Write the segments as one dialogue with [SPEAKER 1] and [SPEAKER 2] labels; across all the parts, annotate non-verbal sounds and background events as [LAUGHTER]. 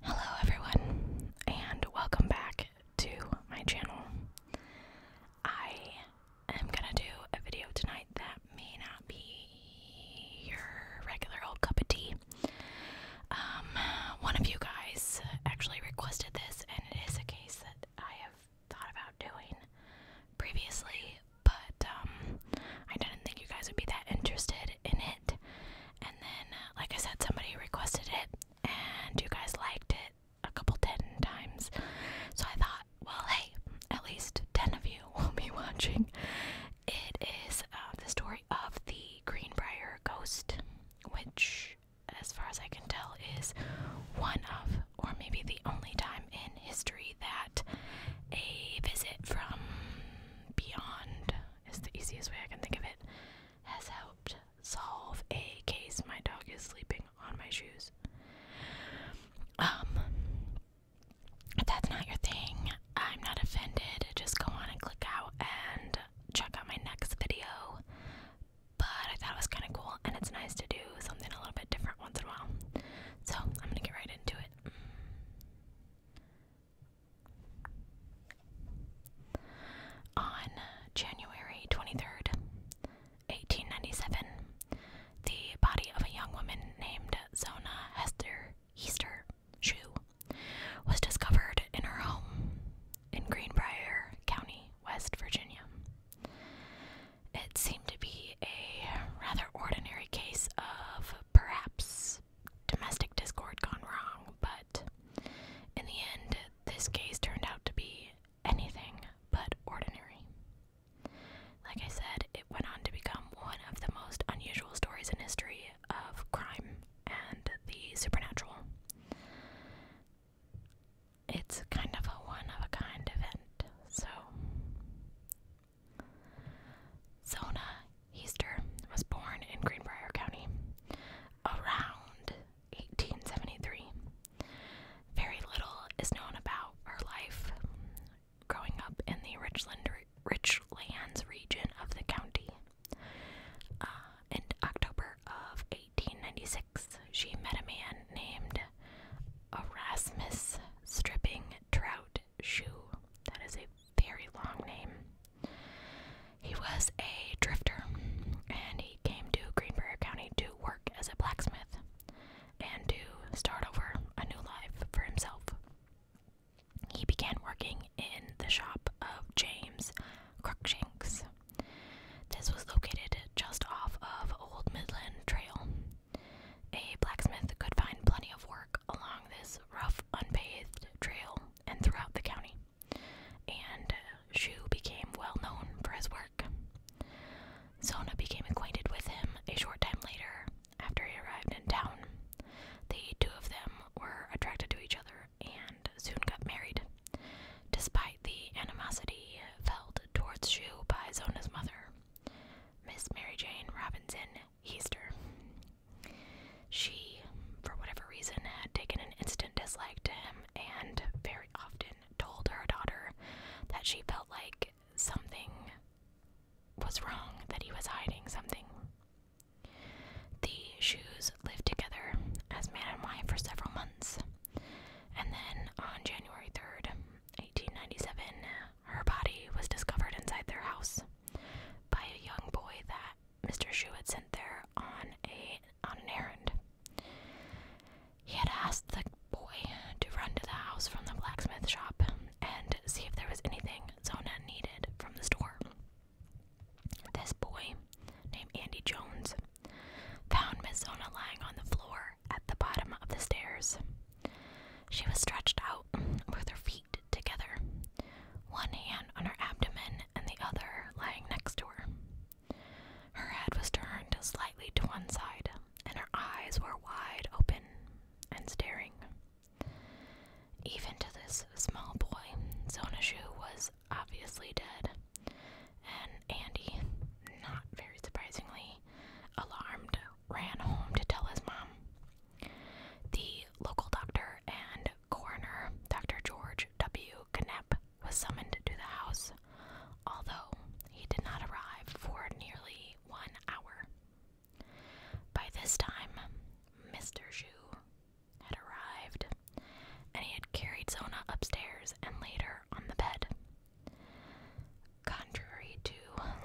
[SPEAKER 1] Hello, everyone, and welcome back to my channel. I am gonna do a video tonight that may not be your regular old cup of tea. Um, one of you guys actually requested this, and it is a case that I have thought about doing previously, but um, I didn't think you guys would be that interested in it. And then, uh, like I said, somebody requested it, and you guys liked it a couple ten times. So I thought, well, hey, at least ten of you [LAUGHS] will be watching. It is uh, the story of the Greenbrier ghost, which, as far as I can tell, is one of, or maybe the only time in history that a visit from beyond it's the easiest way I can think of it, has helped solve a case. My dog is sleeping on my shoes. Um, if that's not your thing, I'm not offended. Just go on and click out and check out my next video. But I thought it was kind of cool, and it's nice to do something a little bit different once in a while. So I'm gonna get right into it. Mm. On January 23rd, 1897, the body of a young woman named Zona Esther Easter Shoe was discovered in her home in Greenbrier County, West Virginia. It seemed to be a rather ordinary case of perhaps domestic discord gone wrong, but in the end, this case turned out to be anything but ordinary. Like I said, it went on to become one of the most unusual stories in history of crime and the supernatural. It's kind of a one of a kind event, so Zona Easter was born in Greenbrier County around 1873. Very little is known about her life growing up in the Richland, Richlands region of the county. Uh, in October of 1896, she met a man named Erasmus Stripping Trout Shoe. That is a very long name. He was a drifter and he came to Greenbrier County to work as a blacksmith and to start over a new life for himself. He began working in the shop of James Crookshanks. This was located just off of Old Midland Trail. A blacksmith could find plenty of work along this rough, unpaved trail and throughout the county, and uh, Shu became well known for his work. Zona became acquainted with him a short time later after he arrived in town. The two of them were attracted to each other and soon got married, despite the animosity felt towards Shu by Zona's mother. Miss Mary Jane Robinson Easter. She, for whatever reason, had taken an instant dislike to him and very often told her daughter that she felt like something was wrong, that he was hiding something. The shoes lived together as man and wife for several months, and then on January 3rd, 1897, her body was discovered inside their house by a young boy that Mr. Shu had sent there on a on an errand. He had asked the boy to run to the house from the blacksmith shop and see if there was anything Zona needed from the store. This boy, named Andy Jones, found Miss Zona lying on the floor at the bottom of the stairs. She was stretched out with her feet together, one hand on her abdomen and the other lying next to her. Her head was turned slightly to one side, and her eyes were wide open and staring. Even to this small boy, Zonashu was obviously dead, and Andy, not very surprisingly, alarmed, ran home to tell his mom. The local doctor and coroner, Dr. George W. Knapp, was summoned to the house, although he did not arrive for nearly one hour. By this time, Mr. Zhu had arrived, and he had carried Zona upstairs and later on the bed. Contrary to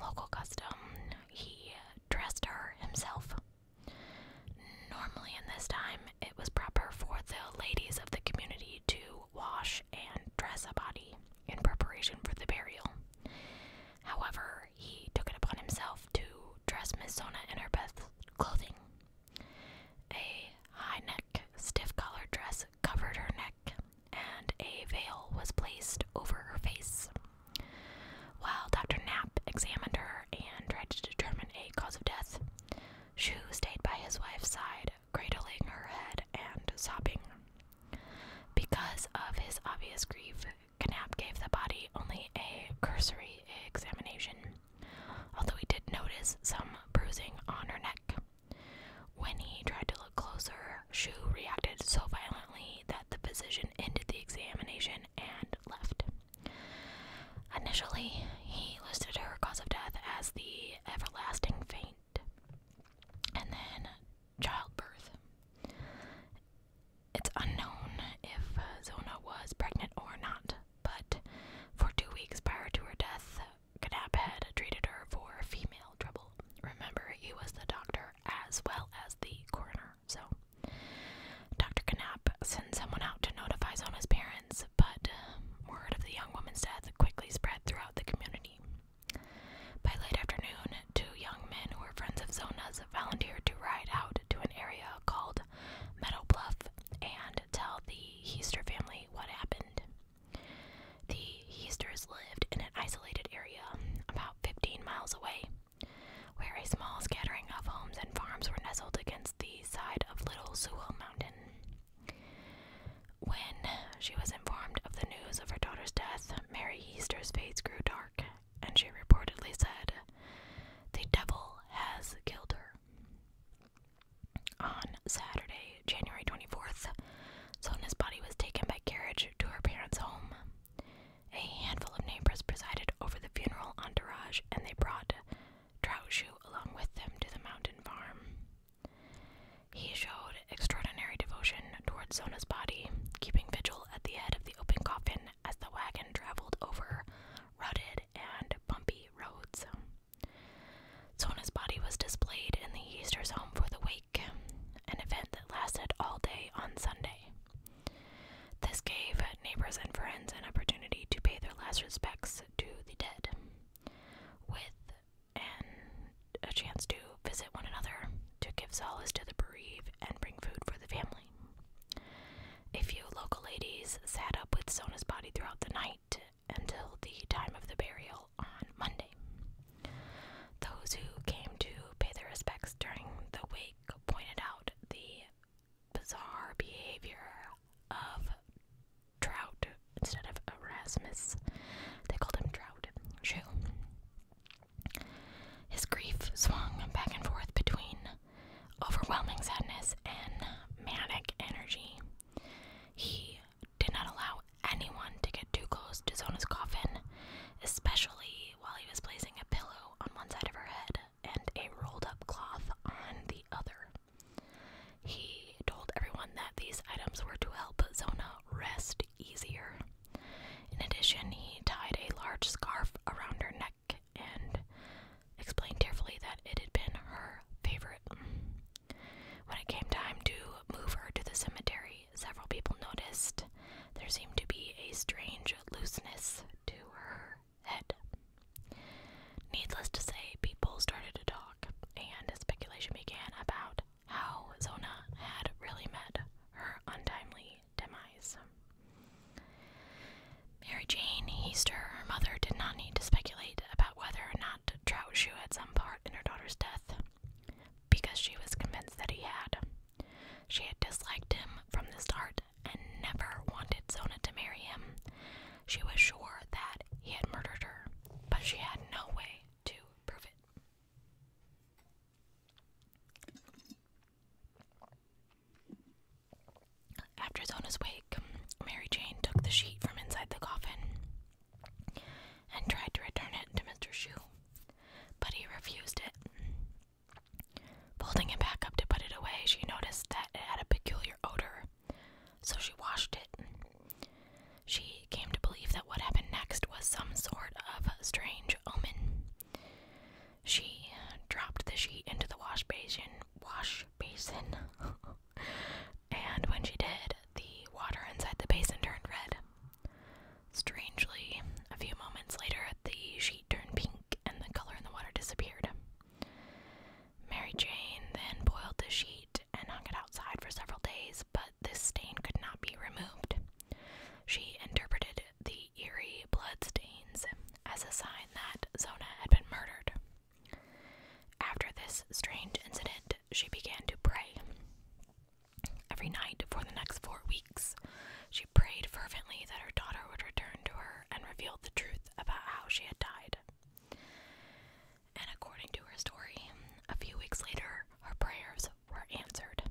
[SPEAKER 1] local custom, he dressed her himself Normally, in this time, it was proper for the ladies of the community to wash and dress a body in preparation for the burial. However, he took it upon himself to dress Miss Zona in her best clothing. A high neck, stiff collared dress covered her neck, and a veil was placed over her face. While Dr. Knapp examined her and tried to determine a cause of death, Shu stayed by his wife's side, cradling her head and sobbing. Because of his obvious grief, Knapp gave the body only a cursory examination, although he did notice some bruising on her neck. When he tried to look closer, Shu reacted so violently that the physician ended the examination and left. Initially, he listed her cause of death as the everlasting faint and then childbirth. It's unknown if uh, Zona was pregnant or not, but for two weeks prior to her death, Kadap had treated her for female trouble. Remember, he was the doctor as well as the coroner. So, Dr. Knapp sends someone out to notify Zona's parents, but uh, word of the young woman's death quickly spread throughout the community. By late afternoon, two young men who were friends of Zona's volunteered to ride out to an area called Meadow Bluff and tell the Heaster family what happened. The Heasters lived in an isolated area about 15 miles away where a small scattering of homes and farms were nestled against the side of Little Sewell Mountain. When she was informed of the news of her daughter's death, Mary Easter's face grew dark, and she reportedly said, The devil has killed her. On Saturday, January 24th, Sona's body was taken by carriage to her parents' home. A handful of neighbors presided over the funeral entourage, and they brought Troushu along with them to the mountain farm. He showed extraordinary devotion toward Zona's body, keeping vigil at the head of the open coffin as the wagon traveled over rutted and bumpy roads. Zona's body was displayed in the Easter's home for the wake, an event that lasted all day on Sunday. This gave neighbors and friends an opportunity to pay their last respects to the dead, with and a chance to visit one another, to give solace to the bereaved, and bring food for the family. A few local ladies sat up with Sona's body throughout the night until the time of the burial on Monday. Those who came to pay their respects during the week pointed out the bizarre behavior of Trout instead of Erasmus. They called him Trout. Shoe. His grief swung back and forth between overwhelming sadness and manic energy. He did not allow anyone to get too close to Zona's coffin, especially while he was placing a pillow on one side of her head and a rolled up cloth on the other. He told everyone that these items were to help Zona rest easier. In addition, he tied a large scarf around her neck and explained tearfully that it had been her favorite. When it came time to move her to the cemetery, several people noticed there seemed to be a strange looseness to her head. Needless to say, people started to talk, and speculation began about how Zona had really met her untimely demise. Mary Jane Easter, her mother, did not need to speculate about whether or not Trout Shoe had some part in her daughter's death, because she was convinced that he had. She had disliked him from the start and never wanted Zona to marry him. She was sure that he had murdered her, but she had no way to prove it. After Zona's wake, Mary Jane took the sheet from inside the coffin and tried to return it to Mr. Shu, but he refused it. Folding it back up to put it away, she noticed that it had a peculiar odor, so she washed it. She came to believe that what happened next was some sort of strange omen. She dropped the sheet into the wash basin, wash basin, [LAUGHS] and when she did, the water inside the basin turned red. Strangely, a few moments later, the sheet turned pink and the color in the water disappeared. Mary Jane then boiled the sheet and hung it outside for several days, but this stain could not be removed. She interpreted the eerie blood stains as a sign that Zona had been murdered. After this strange incident, she began to pray. Every night for the next four weeks, she prayed fervently that her daughter would return to her and reveal the truth about how she had died. And according to her story, a few weeks later, her prayers were answered.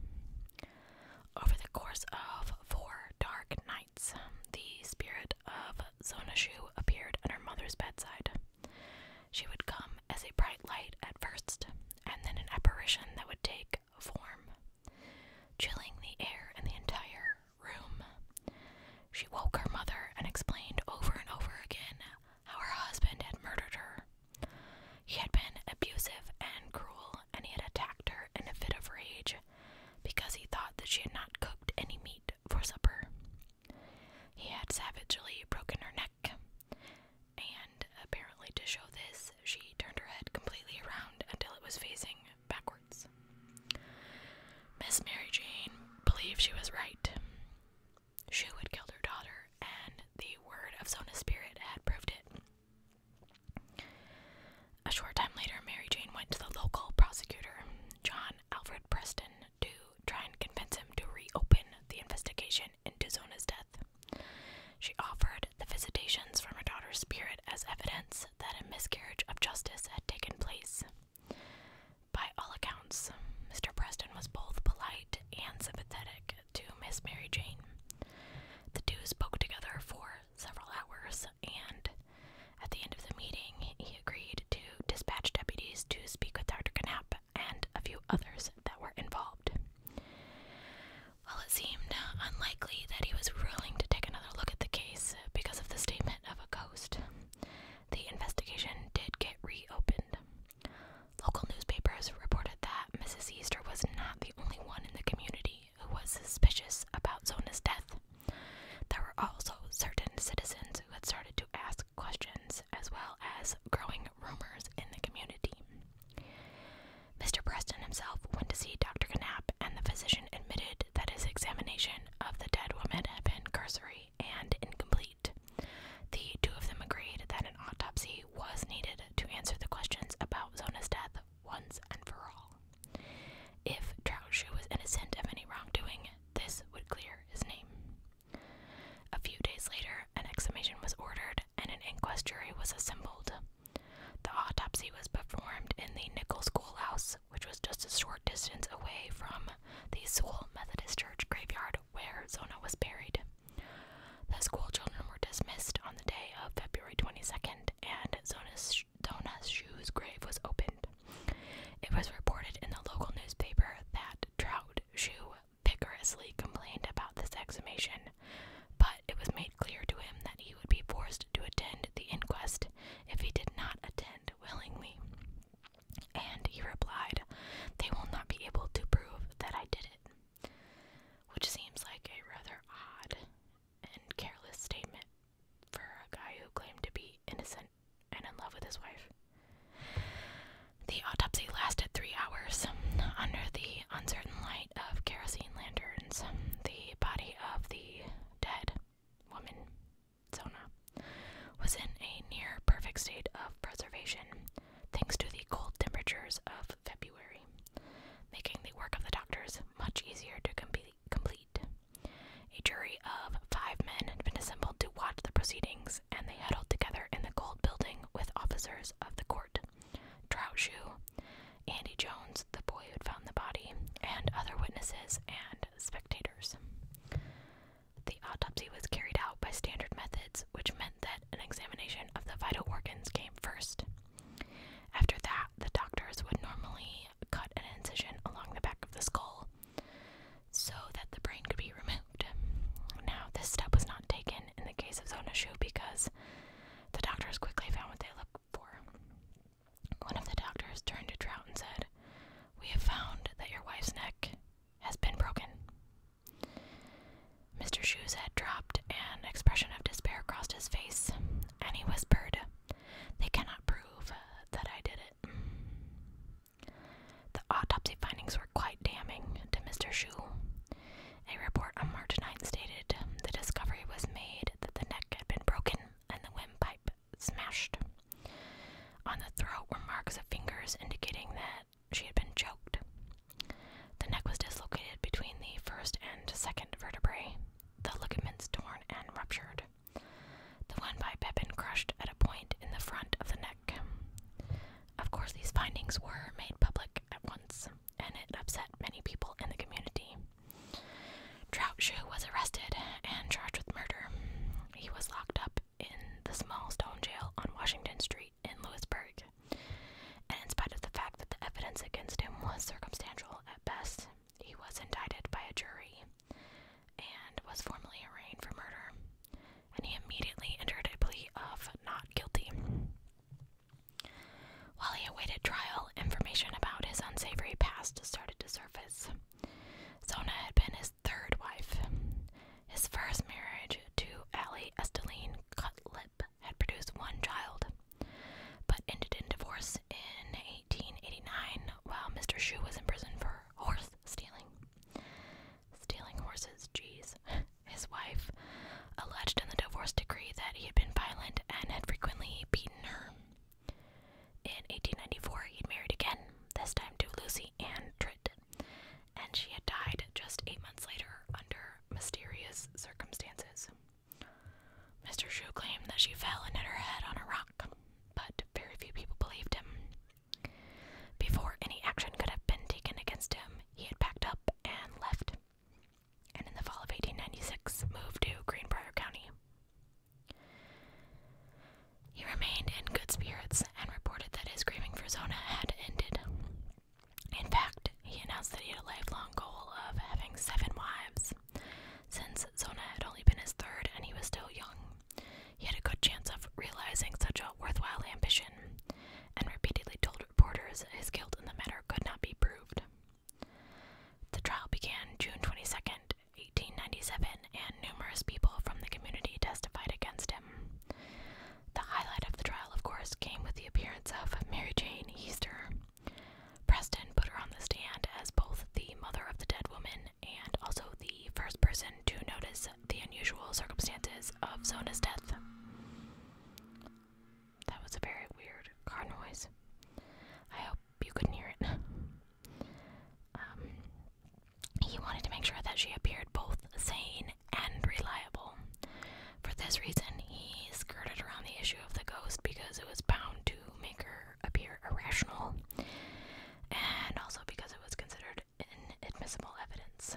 [SPEAKER 1] Over the course of four dark nights, the spirit of Zonashu appeared at her mother's bedside. She would come as a bright light at first, and then an apparition that would take form, chilling the air in the entire room. She woke her mother and explained over and over again how her husband had murdered her. He had been abusive and cruel, and he had attacked her in a fit of rage because he thought that she had not cooked any meat for supper. He had savagely broken her neck, and apparently, to show this, she turned her head completely around until it was facing backwards. Miss Mary Jane believed she was right. She had killed her daughter, and the word of Zona's spirit had proved it. A short time later, Mary Jane went to the local prosecutor, John Alfred Preston, to try and convince him to reopen the investigation into Zona's death. She offered the visitations from her daughter's spirit as evidence that a miscarriage of justice had taken place. By all accounts, Mr. Preston was both polite and sympathetic to Miss Mary Jane. The two spoke together for several hours, and at the end of the meeting, he agreed to dispatch deputies to speak with Dr. Knapp and a few others that were involved. While it seemed unlikely that he was willing to take another look at the case because of the statement of a ghost, the investigation did get reopened. Local newspapers reported that Mrs. Easter was not the only one in the community who was suspicious about Zona's death. There were also certain citizens who had started to ask questions, as well as growing rumors in the community. Mr. Preston himself went to see Dr. Knapp, and the physician admitted that his examination of the dead woman had been cursory and incomplete. The two of them agreed that an autopsy was needed to answer the questions about Zona's death once and for all. If Troutshoe was innocent of any wrongdoing, this would clear his name. A few days later, an exhumation was ordered and an inquest jury was assembled. The autopsy was performed in the Nichol Schoolhouse, which was just a short distance away from the Sewell Methodist Church graveyard where Zona was buried. The schoolchildren were dismissed on the day of February 22nd, and Zona's, sh shoes grave was opened. It was reported in the local newspaper that Trout Shoe vigorously complained about this exhumation, but it was made clear to him that he would be forced to attend the inquest if he did not attend willingly. And he replied, They will not be able to prove that I did it. Which seems like a rather odd and careless statement for a guy who claimed to be innocent and in love with his wife. The autopsy lasted three hours. Under the the uncertain light of kerosene lanterns, the body of the dead woman, Zona, was in a near perfect state of preservation thanks to the cold temperatures of February, making the work of the doctors much easier to complete. A jury of five men had been assembled to watch the proceedings, and they huddled together in the cold building with officers of the court. Trout Andy Jones, the boy who found the body, and other witnesses and spectators. The autopsy was carried out by standard methods, which meant that an examination of the vital organs came first. After that, the doctors would normally cut an incision along the back of the skull so that the brain could be removed. Now, this step was not taken in the case of Zona Shoe because the doctors quickly found what they looked for. One of the doctors turned to Trout and said, We have found that your wife's neck has been broken. Mr. Shoes head dropped, an expression of despair crossed his face, and he whispered, They cannot prove uh, that I did it. The autopsy findings were quite damning to Mr. Shoe. A report on March 9th stated the discovery was made that the neck had been broken and the windpipe smashed. On the throat were marks of fingers indicating that she had been choked. The neck was dislocated between the first and second vertebrae, the ligaments torn and ruptured. The windpipe had been crushed at a point in the front of the neck. Of course, these findings were made public at once, and it upset many people in the community. Trout Shoe was arrested and charged with murder. He was locked up in the small stone jail on Washington Street in Louisburg. And in spite of the fact that the evidence against him was circumstantial at best, he was indicted by a jury and was formally arraigned for murder. And he immediately entered a plea of not guilty. While he awaited trial, information about his unsavory past started to surface. Zona had been his third wife. His first marriage to Allie Esteline Cutlip had produced one child, but ended in divorce in 1889 while Mr. Shu was in prison for horse stealing. Stealing horses, jeez his wife, alleged in the divorce decree that he had been violent and had frequently beaten her. In 1894, he married again, this time to Lucy Ann Tritt, and she had died just eight months later under mysterious circumstances. Mr. Shue claimed that she fell and hit her head on a rock, but very few people believed him. Before any action could have been taken against him, he had packed up and left and in the fall of 1896 moved to Greenbrier County. He remained in good spirits and reported that his grieving for Zona had ended. In fact, he announced that he had a lifelong goal of having seven wives. Since Zona had only been his third and he was still young, he had a good chance of realizing such a worthwhile ambition, and repeatedly told reporters his guilt in the matter could not be proved. The trial began June 22, 1897, and numerous people from the community testified against him. The highlight of the trial, of course, came with the appearance of Mary Jane Easter. Preston put her on the stand as both the mother of the dead woman and also the first person to notice the unusual circumstances of Zona's death. That was a very weird car noise. I hope you couldn't hear it. [LAUGHS] Um, he wanted to make sure that she appeared both sane and reliable. For this reason, he skirted around the issue of the ghost because it was bound to make her appear irrational, and also because it was considered inadmissible evidence.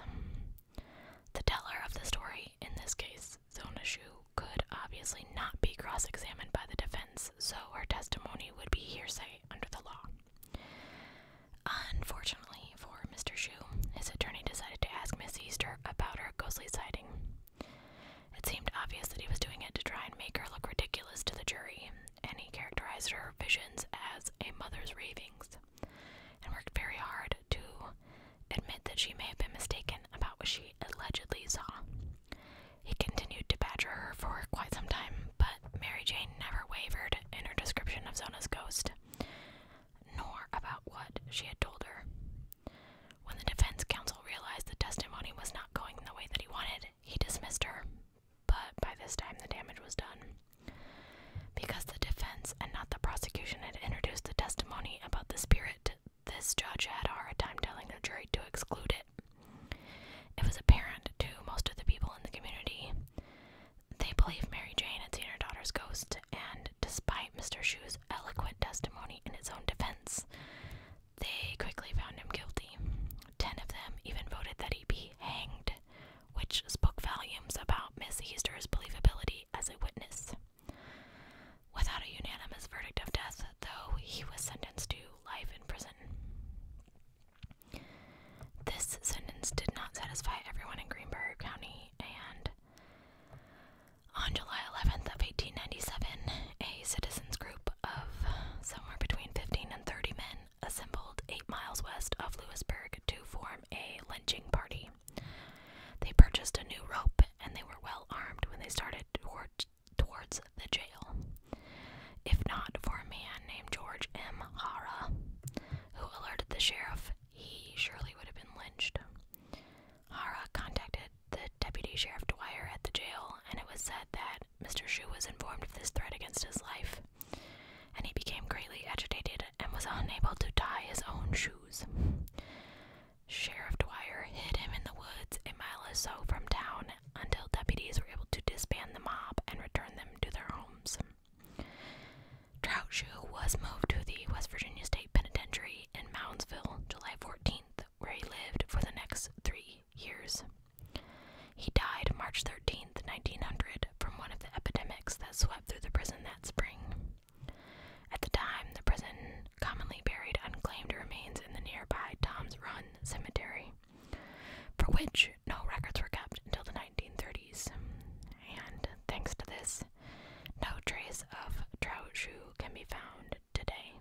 [SPEAKER 1] The teller of the story in this case so Zonashu, could obviously not be cross examined by the defense, so her testimony would be hearsay under the law. Unfortunately for Mr. Shu, his attorney decided to ask Miss Easter about her ghostly sighting. It seemed obvious that he was doing it to try and make her look ridiculous to the jury, and he characterized her visions as a mother's ravings and worked very hard to admit that she may have been mistaken about what she allegedly saw. He continued to badger her for quite some time, but Mary Jane never wavered in her description of Zona's ghost, nor about what she had told her. When the defense counsel realized the testimony was not going the way that he wanted, he dismissed her, but by this time the damage was done. Because the defense and not the prosecution had introduced the testimony about the spirit this judge had a hard time telling the jury to exclude it. It was apparent to most of the people in the community. They believed Mary Jane had seen her daughter's ghost, and despite Mr. Shue's eloquent testimony in his own defense, they quickly found him guilty. Ten of them even voted that he be hanged, which spoke volumes about Miss Easter's believability as a witness. Without a unanimous verdict of death, though, he was sentenced to life in prison. This sentence did not satisfy everyone in Greenberg County, and on July 11th of 1897, a citizens group of somewhere between 15 and 30 men assembled 8 miles west of Lewisburg to form a lynching party. They purchased a new rope and they were well armed when they started toward, towards the jail. If not for a man named George M. Hara, who alerted the sheriff, he surely would have been lynched. Hara contacted the deputy sheriff Dwyer at the jail, and it was said that Mr. Shu was informed of this threat against his life, and he became greatly agitated and was unable to tie his own shoes. Sheriff Dwyer hid him in the woods a mile or so from town until deputies were able to disband the mob and return them to their homes. Troutshoe was moved to the West Virginia State Penitentiary in Moundsville July 14th, where he lived for the next three years. He died March 13, 1900, from one of the epidemics that swept through the prison that spring. At the time, the prison commonly buried unclaimed remains in the nearby Tom's Run Cemetery, for which no records were kept until the 1930s. And thanks to this, no trace of trout shoe can be found today.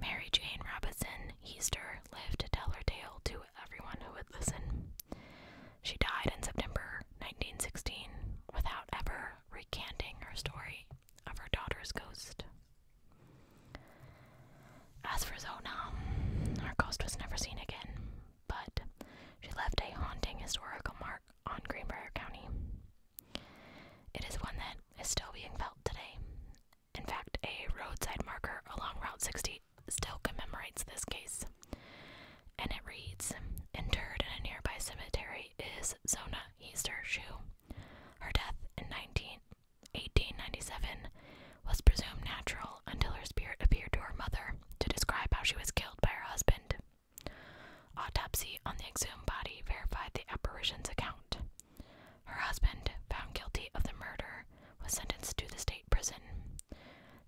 [SPEAKER 1] Mary Jane Robinson Easter lived to tell her tale to everyone who would listen. She died in September 1916 without ever recanting her story of her daughter's ghost. As for Zona, her ghost was never seen again, but she left a haunting historical mark on Greenbrier County. It is one that is still being felt today. In fact, a roadside marker along Route 60 still commemorates this case, and it reads Interred in a nearby cemetery is Zona Easter Shoe. Her death in 19, 1897 was presumed natural until her spirit appeared to her mother to describe how she was killed by her husband. Autopsy on the exhumed body verified the apparition's account. Her husband, found guilty of the murder, was sentenced to the state prison.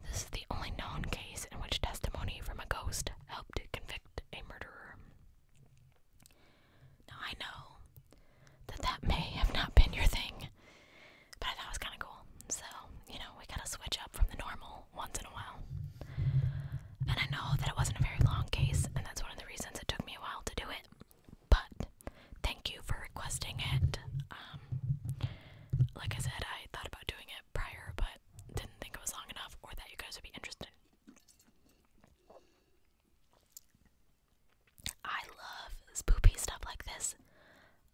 [SPEAKER 1] This is the only known case in which testimony from a ghost help to convict a murderer. Now, I know that that may have not been your thing, but I thought it was kind of cool. So, you know, we gotta switch up from the normal once in a while. And I know that it wasn't a very long case, and that's one of the reasons it took me a while to do it. But thank you for requesting it. Um, like I said, I thought about doing it prior, but didn't think it was long enough or that you guys would be interested. I love spoopy stuff like this.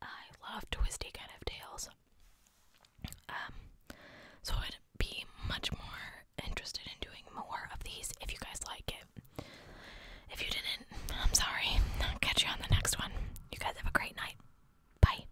[SPEAKER 1] I love twisty kind of tales. Um, so I'd be much more interested in doing more of these if you guys like it. If you didn't, I'm sorry. I'll catch you on the next one. You guys have a great night. Bye.